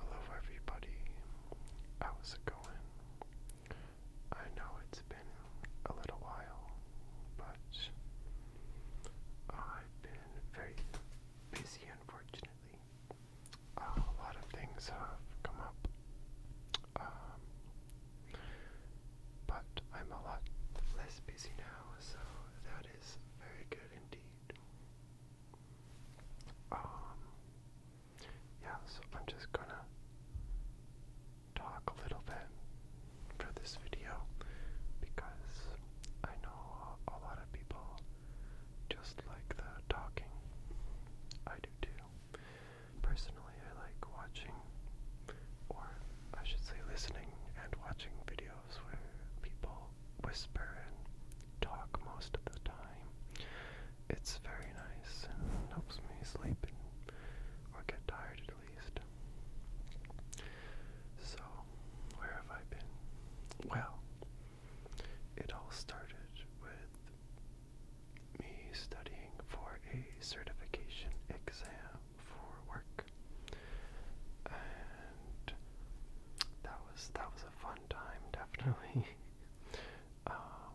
Hello everybody, how's it going? I know it's been a little while, but I've been very busy unfortunately. a lot of things have come up, um, but I'm a lot less busy now, so that is very good indeed. Um, yeah, so I'm just gonna talk a little bit for this video because I know a lot of people just like the talking. I do too. Personally, I like watching, or I should say listening and watching video where people whisper and talk most of the time. It's very nice and helps me sleep or get tired at least. So, where have I been? Well, it all started with me studying for a certification exam for work. And that was that was a fun time, definitely. Um,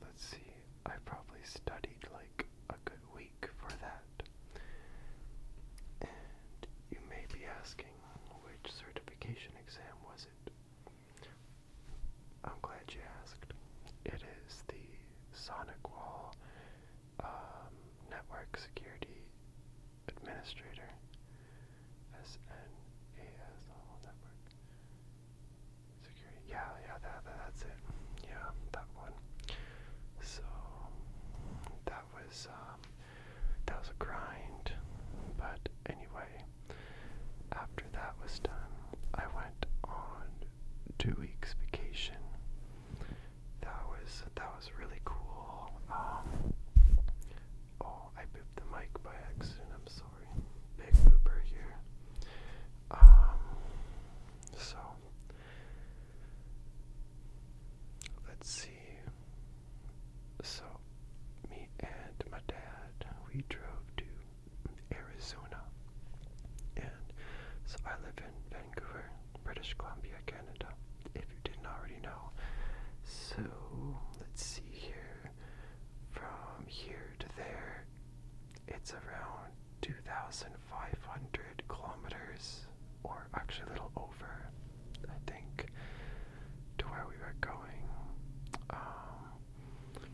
let's see, I probably studied like a good week for that. And you may be asking, which certification exam was it? I'm glad you asked. It is the Sonic Wall um, Network Security Administrator, SNAS, network. Security, yeah, yeah, that, that's it. Yeah, that one. So that was um, that was a grind, but anyway, after that was done, I went on two weeks vacation that was that was really cool. Um, oh, I pooped the mic by accident. I'm sorry. Big pooper here. Um, so let's see. So me and my dad, we drove to Arizona, and so I live in Vancouver, British Columbia, Canada if you didn't already know. So let's see here. From here to there, it's around 2,500 kilometers, or actually a little over, I think, to where we were going. Um,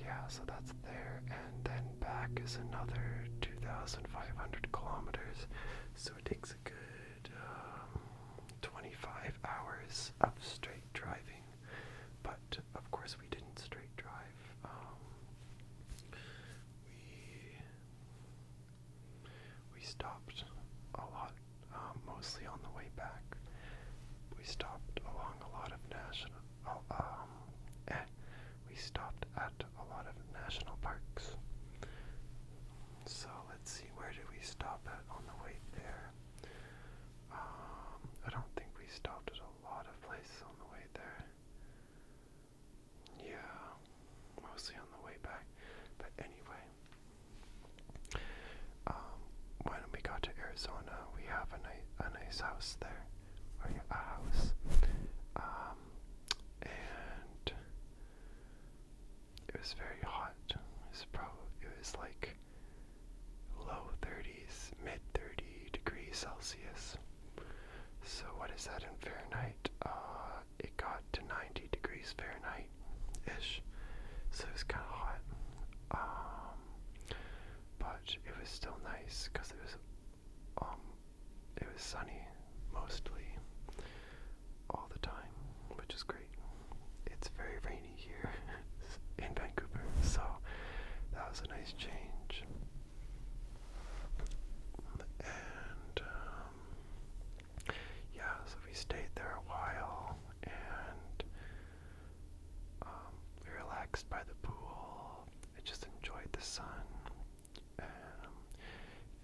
yeah, so that's there, and then back is another 2,500 kilometers. So it takes good um, 25 hours of straight driving, but of course we didn't straight drive. Um, we we stopped a lot, um, mostly on the way back. We stopped along a lot of national, oh, um, eh, we stopped at a lot of national parks. So let's see, where did we stop at on the way there? Um, I don't think we stopped at a lot of places on the way there. Yeah, mostly on the way back. But anyway, um, when we got to Arizona, we have a, ni a nice house there, a house. Um, and it was very hot. It was probably it was like low 30s, mid 30 degrees Celsius. So what is that in Fahrenheit? Uh, it got to 90 degrees Fahrenheit ish. So it was kind of hot. Um, but it was still nice because it was um, it was sunny mostly all the time, which is great. It's very rainy here in Vancouver, so that was a nice change. And um, yeah, so we stayed there a while and um, we relaxed by the pool. I just enjoyed the sun um,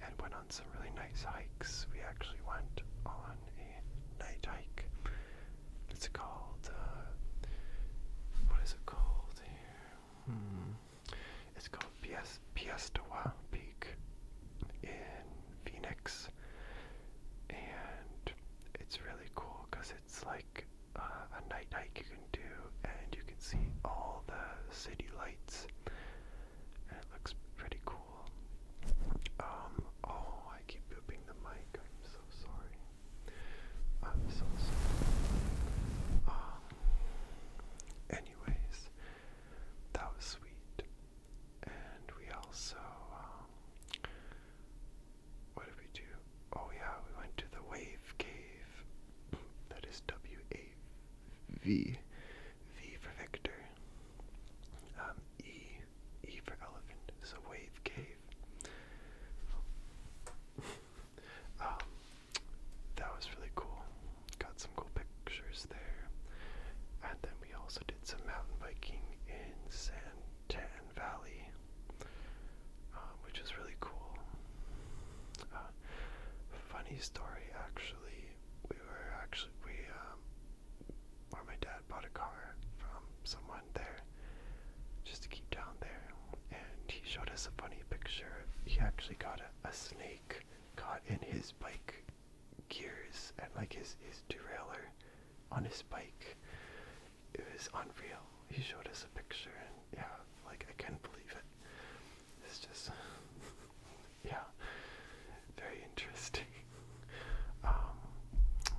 and went on some really nice hikes. We actually went on a night hike. It's called, uh, what is it called here? Hmm. It's called Pies Piestawa Peak in Phoenix. And it's really cool because it's like uh, a night hike you can do, and you can see all the city lights it looks pretty cool. Um, oh, I keep pooping the mic. I'm so sorry. I'm so sorry. Um, anyways, that was sweet. And we also, um, what did we do? Oh, yeah, we went to the Wave Cave. That is W A V, V for Victor, um, E, E for Elephant, so Wave Cave. Um, that was really cool. Got some cool pictures there. And then we also did some mountain biking in Santan Valley, um, which is really cool. Uh, funny story actually. We were actually we um or my dad bought a car from someone there just to keep down there and he showed us a funny picture. He actually got a, a snake caught in his bike gears and like his his derailleur on his bike. It was unreal. He showed us a picture and yeah, like I can't believe it. It's just, yeah, very interesting. Um,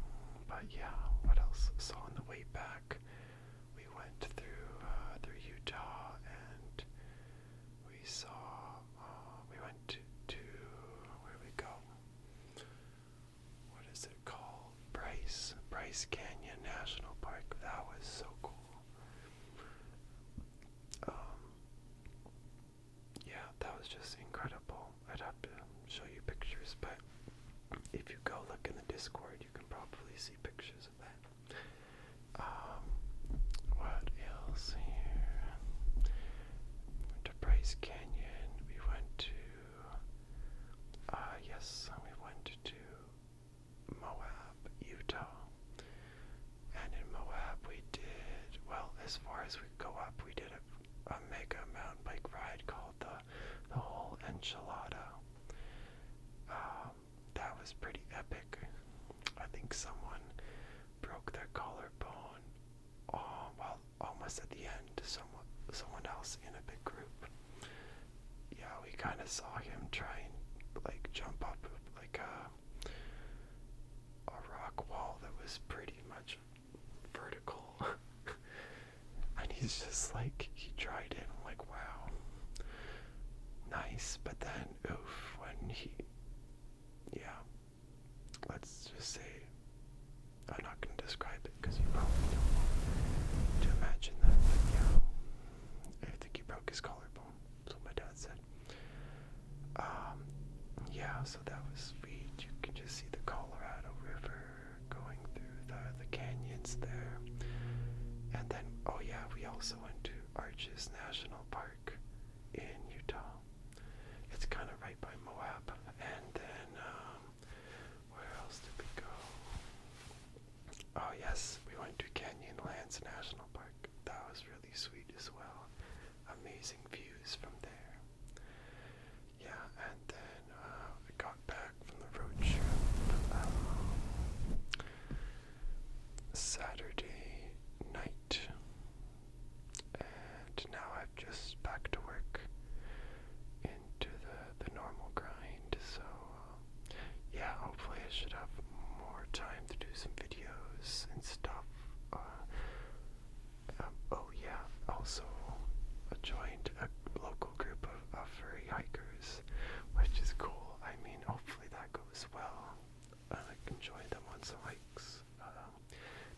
but yeah, what else? So on the way back, we went through uh, through Utah and we saw uh, we went to where we go. What is it called? Bryce Bryce Canyon National Park. That was so cool. Um, yeah, that was just incredible. I'd have to show you pictures, but if you go look in the Discord, you can probably see pictures of that. Um, what else here? Went to Bryce Canyon. We went to. Uh, yes, we went to Moab, Utah. And in Moab, we did, well, as far as we go up, we did a, a mega mountain bike ride called the, the whole enchilada. Um, that was pretty epic. I think someone broke their collarbone oh, well, almost at the end, someone, someone else in a big group. Yeah, we kind of saw him try and like jump up uh, a, rock wall that was pretty much vertical. and he's just like, he tried it. I'm like, wow, nice. But then, oof, when he, yeah, let's just say, I'm not going to describe it because you probably don't want to imagine that. But yeah, I think he broke his collarbone. That's what my dad said. Um, yeah, so that was sweet. You can just see the Colorado River going through the, the canyons there. And then, oh yeah, we also went to Arches National Park in Utah. It's kind of right by Moab. And then, um, where else did we go? Oh yes, we went to Canyonlands National Park. That was really sweet as well. Amazing views from there. Yeah, and then uh, I got back from the road trip um, Saturday night, and now i am just back to work into the the normal grind. So yeah, hopefully I should have more time to do some videos and stuff. Uh, um, oh yeah, also I joined a local group of, furry hikers, which is cool. I mean, hopefully that goes well. And I can join them on some hikes. Um,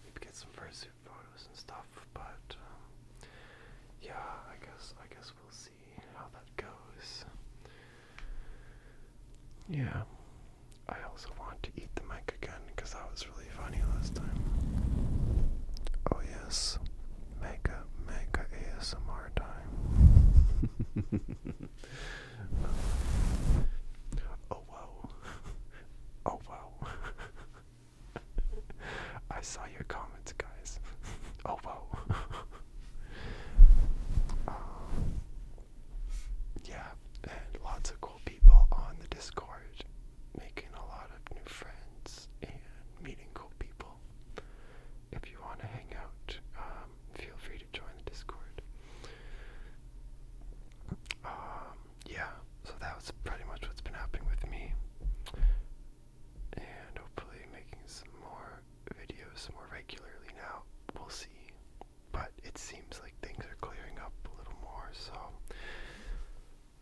maybe get some furry suit photos and stuff. But um, yeah, I guess I guess we'll see how that goes. Yeah. I also want to eat the mic again because that was really funny last time. Oh, yes. Mega, mega ASMR time. oh, wow. Oh, wow. I saw your comments, guys. Oh, wow. Um, yeah, and lots of cool people on the Discord, making a lot of new friends and meeting cool people. If you want to hang out, um, feel free to join the Discord. Um, yeah, so that was pretty much what's been happening with me. And hopefully making some more videos more regularly now. We'll see. But it seems like things are clearing up a little more, so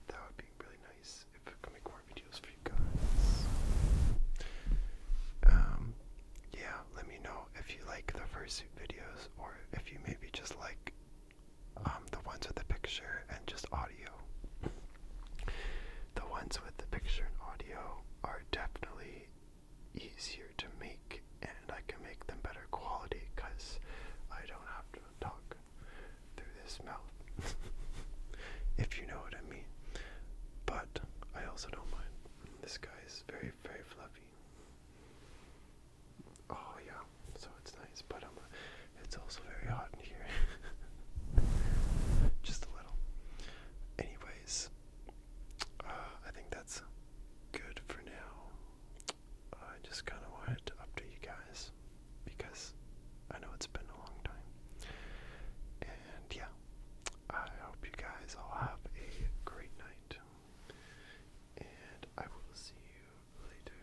that would be really nice if I could make more videos for you guys. Um, yeah, let me know if you like the first videos or if you maybe just like um, the ones with the picture and just audio. The ones with the picture and audio are definitely easier to make and I can make them better quality because I don't have to talk through this mouth. if you know what I mean. But I also don't mind. This guy is very, very fluffy. Oh yeah, so it's nice, but um, it's also very hot in here. Just a little. Anyways, uh, I think that's good for now. I just kind of wanted to update you guys because I know it's been a long time. And yeah, I hope you guys all have a great night. And I will see you later.